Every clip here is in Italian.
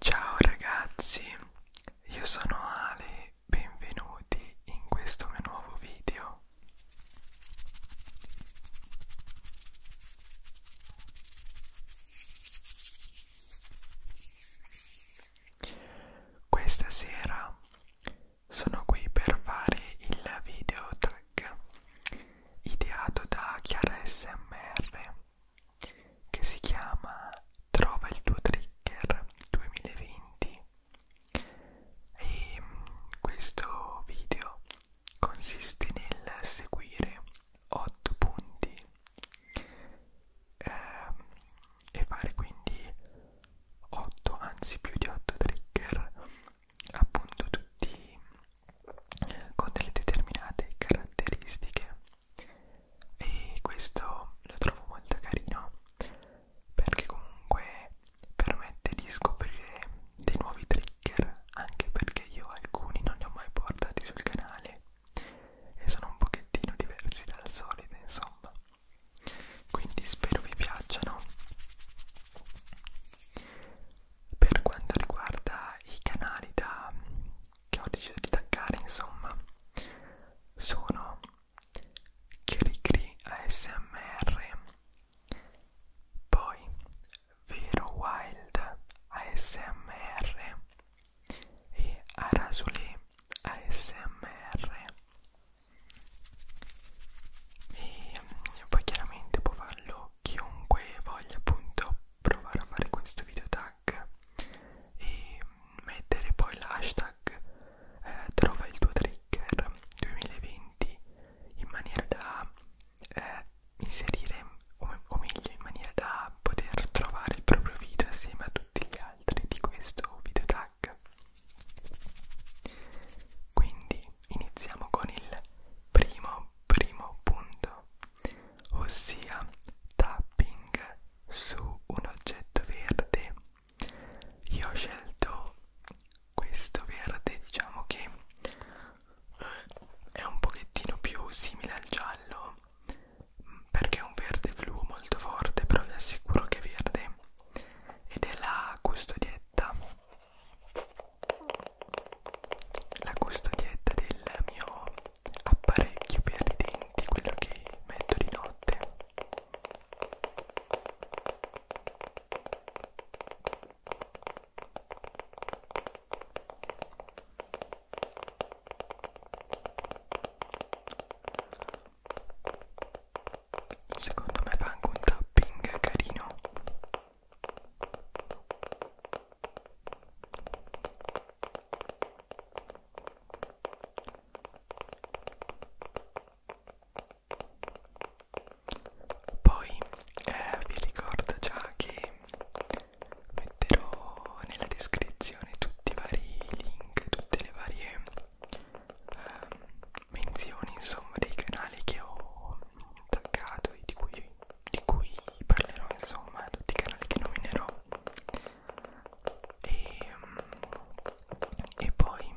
Ciao ragazzi, io sono Ale, benvenuti in questo mio nuovo video. Questa sera sono qui per fare il video tag ideato da Chiara SMR che si chiama Trova il tuo trigger 2020 e mm, questo video consiste nel seguire 8 punti ehm, e fare quindi 8 anzi più di 8 trigger appunto tutti eh, con delle determinate caratteristiche e questo lo trovo molto carino perché comunque permette di scoprire dei nuovi trigger anche perché io alcuni non li ho mai portati sul canale e sono un pochettino diversi dal solito insomma quindi spero vi piacciono per quanto riguarda i canali da che ho deciso di taggare insomma sono Kirikri ASMR poi Vero Wild ASMR e Arasole ASMR e mm, poi chiaramente può farlo chiunque voglia appunto provare a fare questo video tag e mettere poi l'hashtag eh, trova il tuo trigger 2020 in maniera da eh, inserire o, o meglio in maniera da poter trovare il proprio video assieme a tutti gli altri di questo video tag quindi iniziamo con il primo primo punto ossia tapping su un oggetto verde. Io ho scelto questo verde, diciamo che è un pochettino più simile al giallo perché è un verde fluo molto forte, però vi assicuro che è verde ed è la custodietta la custodietta del mio apparecchio per i denti, quello che metto di notte. Secondo me fa anche un tapping carino. Poi eh, vi ricordo già che metterò nella descrizione tutti i vari link, tutte le varie eh, menzioni insomma dei canali che ho attaccato e di cui di cui parlerò insomma a tutti i canali che nominerò e, e poi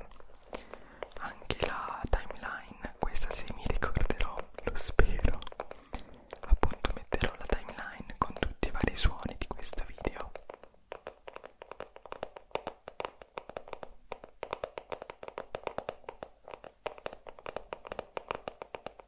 anche la timeline questa se mi ricorderò lo spero appunto metterò la timeline con tutti i vari suoni di questo video e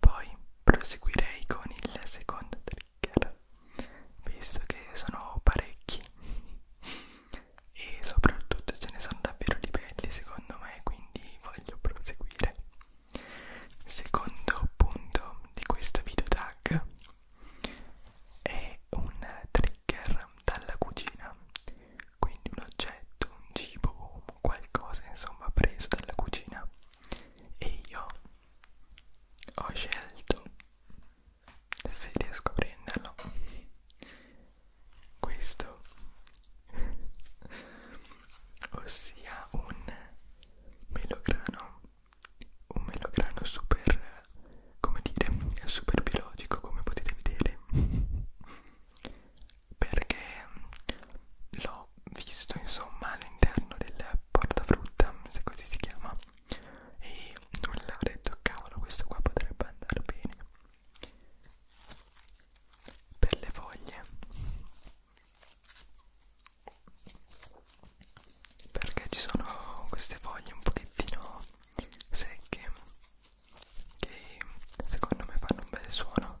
Poi proseguirei con il secondo trigger, visto che sono parecchi e soprattutto ce ne sono davvero di belli secondo me quindi voglio proseguire secondo punto di questo video tag è un trigger dalla cucina quindi un oggetto un cibo qualcosa insomma preso dalla cucina e io ho scelto se riesco a prenderlo questo ossia un melograno un melograno super come dire super biologico come potete vedere perché l'ho visto insomma all'interno del portafrutta se così si chiama e nulla ho detto cavolo questo qua potrebbe andare bene per le foglie perché ci sono queste foglie un pochettino secche che secondo me fanno un bel suono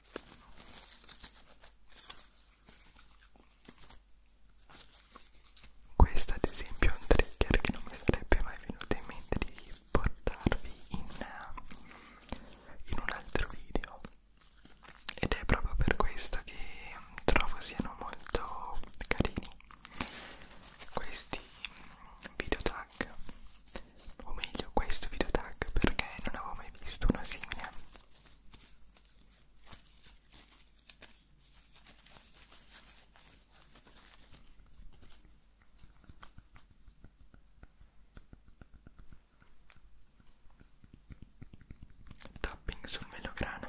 Questo ad esempio è un trigger che non mi sarebbe mai venuto in mente di portarvi in, eh, in un altro video ed è proprio per questo che trovo siano molto carini questi video tag o meglio questo video tag perché non avevo mai visto uno simile Tapping sul melograno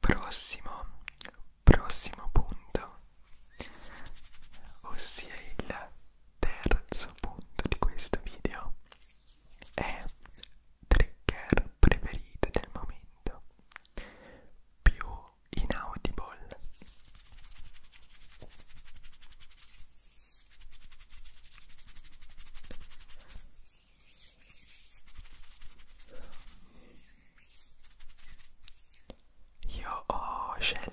Prossimo, prossimo punto, ossia il terzo punto di questo video, è trigger preferito del momento più su Inaudible io ho scelto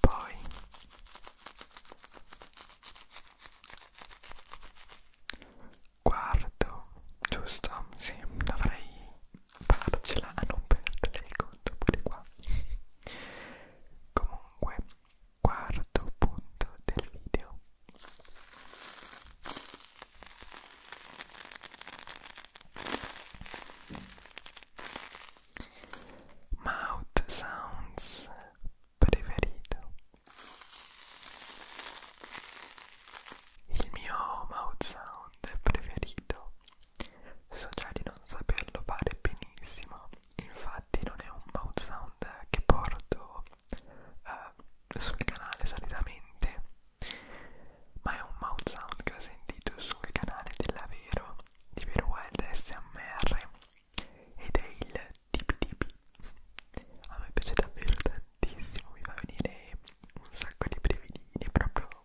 Poi quarto, giusto? Sì, dovrei farcela a non perdere il conto pure qua comunque quarto punto del video mouth sounds preferito il mio mouth sound preferito So già di non saperlo fare benissimo, infatti non è un mouth sound che porto eh, sul canale solitamente, ma è un mouth sound che ho sentito sul canale della Vero, di Vero Wild SMR, ed è il tipi tipi. A me piace davvero tantissimo, mi fa venire un sacco di brividini proprio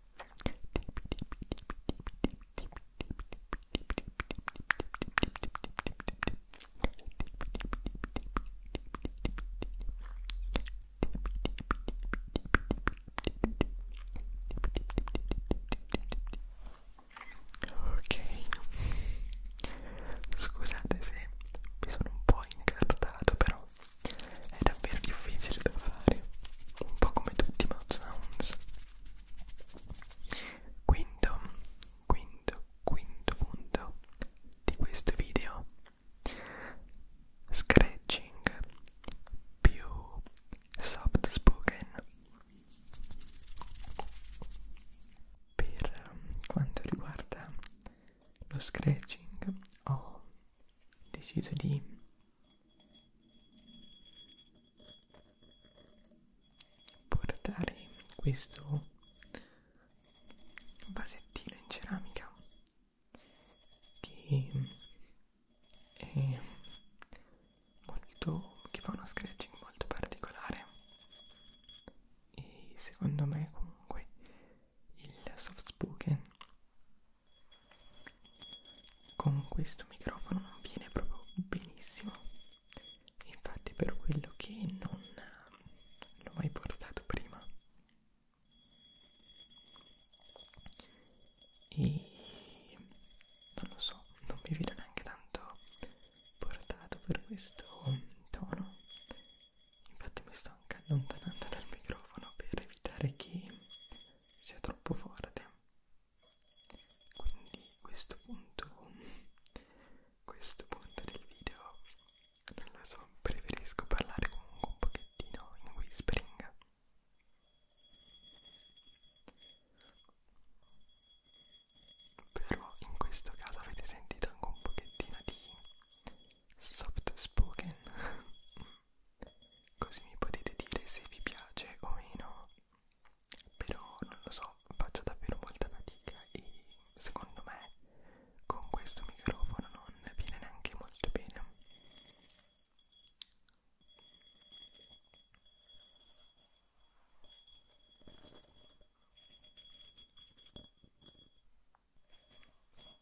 Ok, scusate se mi sono un po' incartato, però è davvero difficile da fare, un po' come tutti i mouth sounds. Quinto, quinto, quinto punto di questo video. Scratching più soft spoken. Per quanto riguarda lo scratching ho deciso di portare questo vasettino in ceramica che è molto che fa uno scratching molto particolare e secondo me comunque il soft spoken con questo microfono non viene proprio benissimo infatti per quello che non l'ho mai portato prima e non lo so non mi vedo neanche tanto portato per questo tono infatti mi sto anche allontanando dal microfono per evitare che sia troppo forte quindi questo punto questo punto del video non lo so preferisco parlare comunque un pochettino in whispering però in questo caso avete sentito anche un pochettino di soft spoken così mi potete dire se vi piace o meno però non lo so faccio davvero molta fatica e secondo me con questo microfono non viene neanche molto bene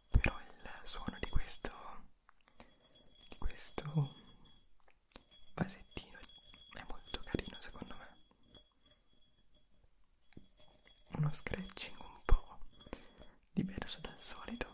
però il suono di questo di questo vasettino è molto carino secondo me uno scratching un po' diverso dal solito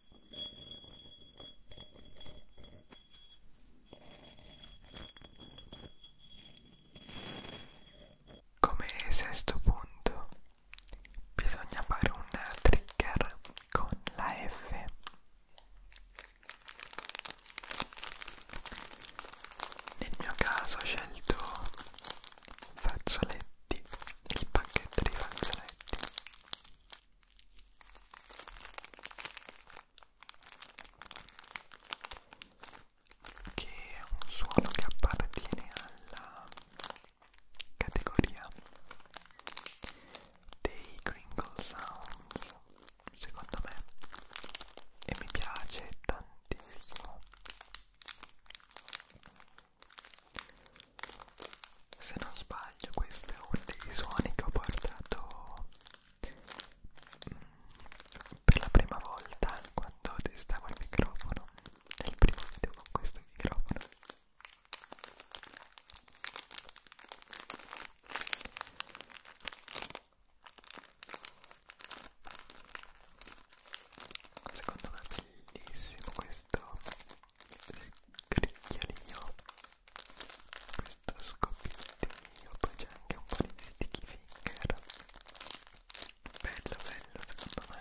Come sesto punto bisogna fare un trigger con la F. Nel mio caso ho scelto fazzoletti, il pacchetto di fazzoletti perfetto che è un suono che appartiene alla categoria dei Kringle Sounds secondo me e mi piace tantissimo se non sbaglio questo è uno dei suoni che ho portato mm, per la prima volta quando testavo il microfono nel primo video con questo microfono Secondo me è bellissimo questo questo scricchiolino questo scoppiettino poi c'è anche un po' di sticky finger bello bello secondo me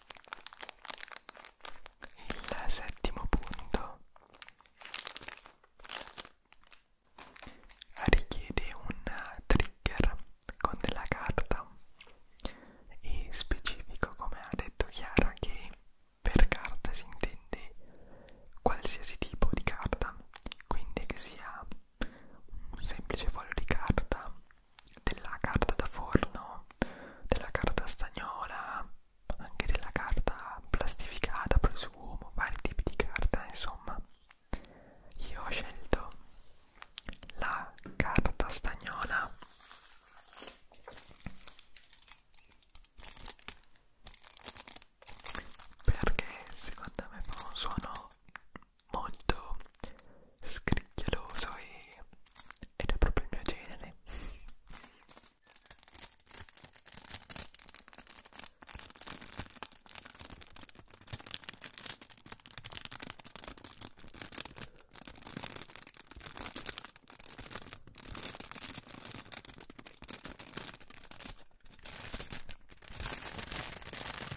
il settimo punto richiede un trigger con della carta e specifico come ha detto Chiara che per carta si intende qualsiasi tipo di carta quindi che sia un semplice foglio di carta della carta da forno, della carta stagnola, anche della carta plastificata, presumo, vari tipi di carta, insomma. Io ho scelto la carta stagnola perché secondo me fa un suono molto scricchioloso e, ed è proprio il mio genere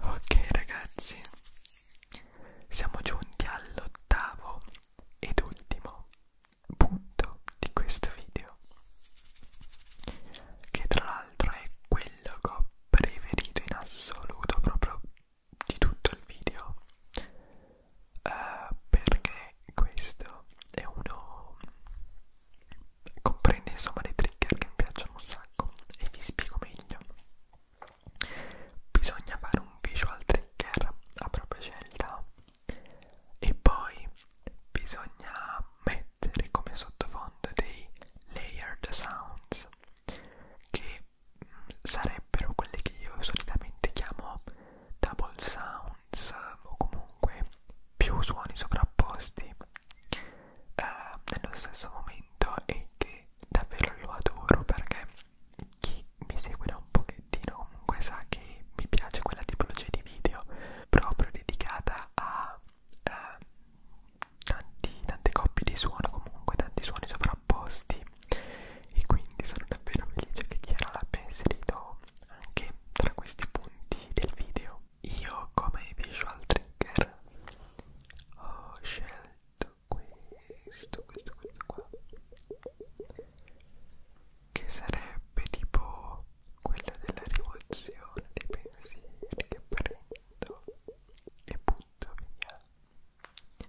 Ok ragazzi, siamo giunti all'ottavo ed ultimo punto di questo video, che tra l'altro è quello che ho preferito in assoluto proprio di tutto il video eh, perché questo è uno comprende insomma dei trigger che mi piacciono un sacco e vi spiego meglio bisogna fare un visual trigger a propria scelta e poi bisogna mettere come sottofondo dei layered sounds che mm, sarebbero quelli che io solitamente chiamo double sounds o comunque più suoni sovrapposti eh, nello stesso momento e che davvero lo adoro perché chi mi segue da un pochettino comunque sa che mi piace quella tipologia di video proprio dedicata a eh, tanti, tante coppie di suono comunque tanti suoni sovrapposti e quindi sono davvero felice che Chiara l'abbia inserito anche tra questi punti del video. Io come visual trigger ho scelto questo, questo, questo qua che sarebbe tipo quello della rivoluzione dei pensieri che prendo e butto via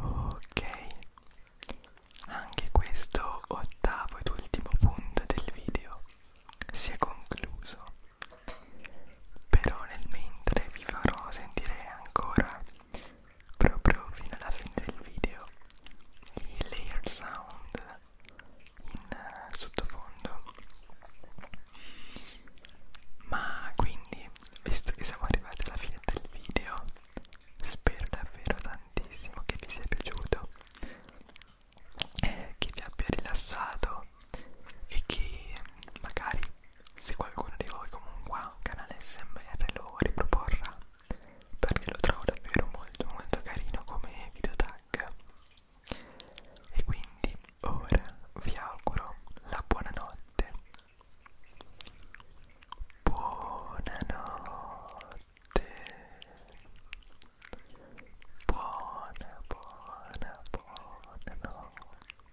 Ok, anche questo ottavo ed ultimo punto del video si è concluso però nel mentre vi farò sentire ancora proprio fino alla fine del video i layer sound in uh, sottofondo ma quindi visto che siamo arrivati alla fine del video spero davvero tantissimo che vi sia piaciuto e che vi abbia rilassato e che magari se qualcuno di voi comunque ha un canale smr lo riproporrà perché lo trovo davvero molto molto carino come video tag e quindi ora vi auguro la buonanotte buonanotte buona buona buona notte